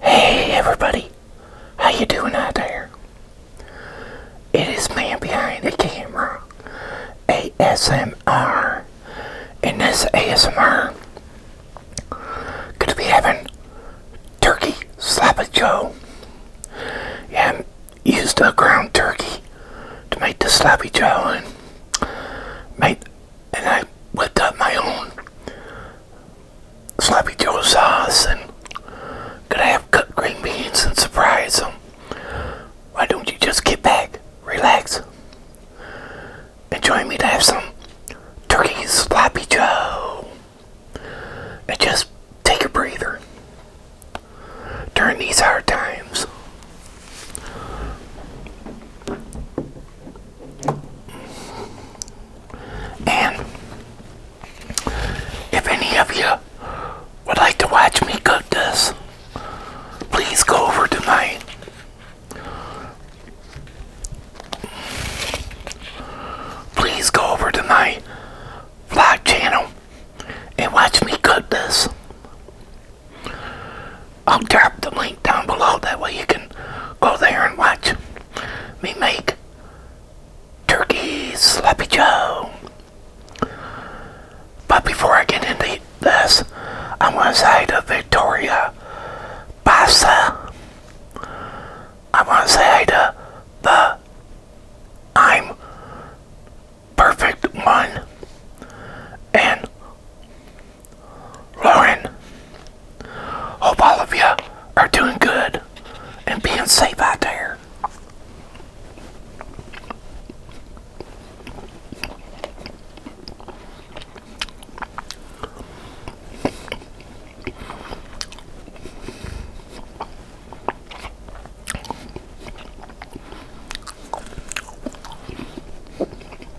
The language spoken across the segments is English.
Hey everybody, how you doing out there? It is man behind the camera, ASMR, and this ASMR gonna be having turkey sloppy joe. Yeah, I used a ground turkey to make the sloppy joe and made and I whipped up my own sloppy joe sauce and gonna have cut green beans and surprise some. Why don't you just get back, relax, and join me to have some turkey sloppy joe and just take a breather during these hard times. And if any of you would like to watch me cook this, please go over to my please go over to my vlog channel and watch me cook this. I'll drop the link down below. That way you can go there and watch me make turkey sloppy joe. But before I get into this, I want to say to Victoria Bassa, I want to say to the I'm Perfect One and Lauren, hope all of you are doing good and being safe out there.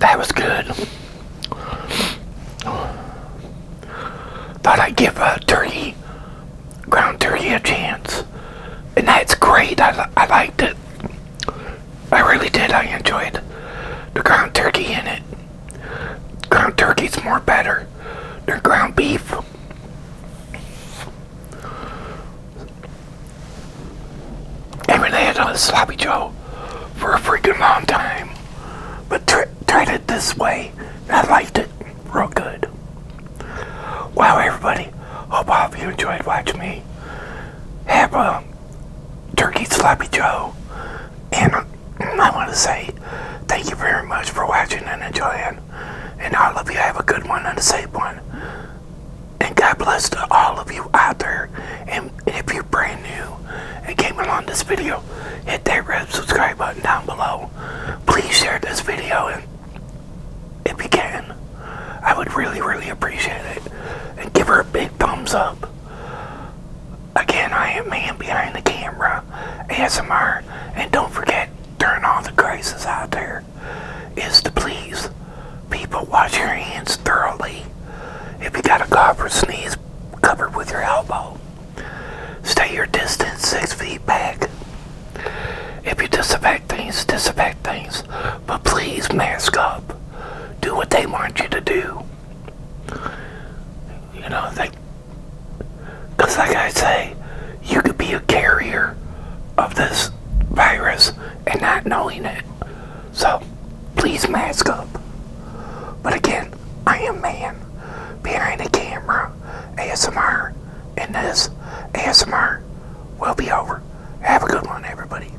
That was good. Thought I'd give a turkey, ground turkey, a chance. And that's great. I, I liked it. I really did. I enjoyed the ground turkey in it. Ground turkey's more better than ground beef. I haven't had a sloppy joe for a freaking long time, but tr tried it this way and I liked it real good. Wow, everybody, hope all of you enjoyed watching me. Have a Turkey Sloppy Joe, and I want to say thank you very much for watching and enjoying, and I love you I have a good one and a safe one, and God bless to all of you out there, and if you're brand new and came along this video, hit that red subscribe button down below, please share this video, and if you can, I would really, really appreciate it, and give her a big thumbs up. Again, I am man behind the camera, ASMR, and don't forget during all the crises out there is to please people wash your hands thoroughly. If you got a cough or sneeze, cover with your elbow. Stay your distance six feet back. If you disinfect things, disinfect things, but please mask up. Do what they want you to do. You know, they, because like I say, you could be a carrier of this virus and not knowing it. So please mask up. But again, I am man behind the camera, ASMR, and this ASMR will be over. Have a good one, everybody.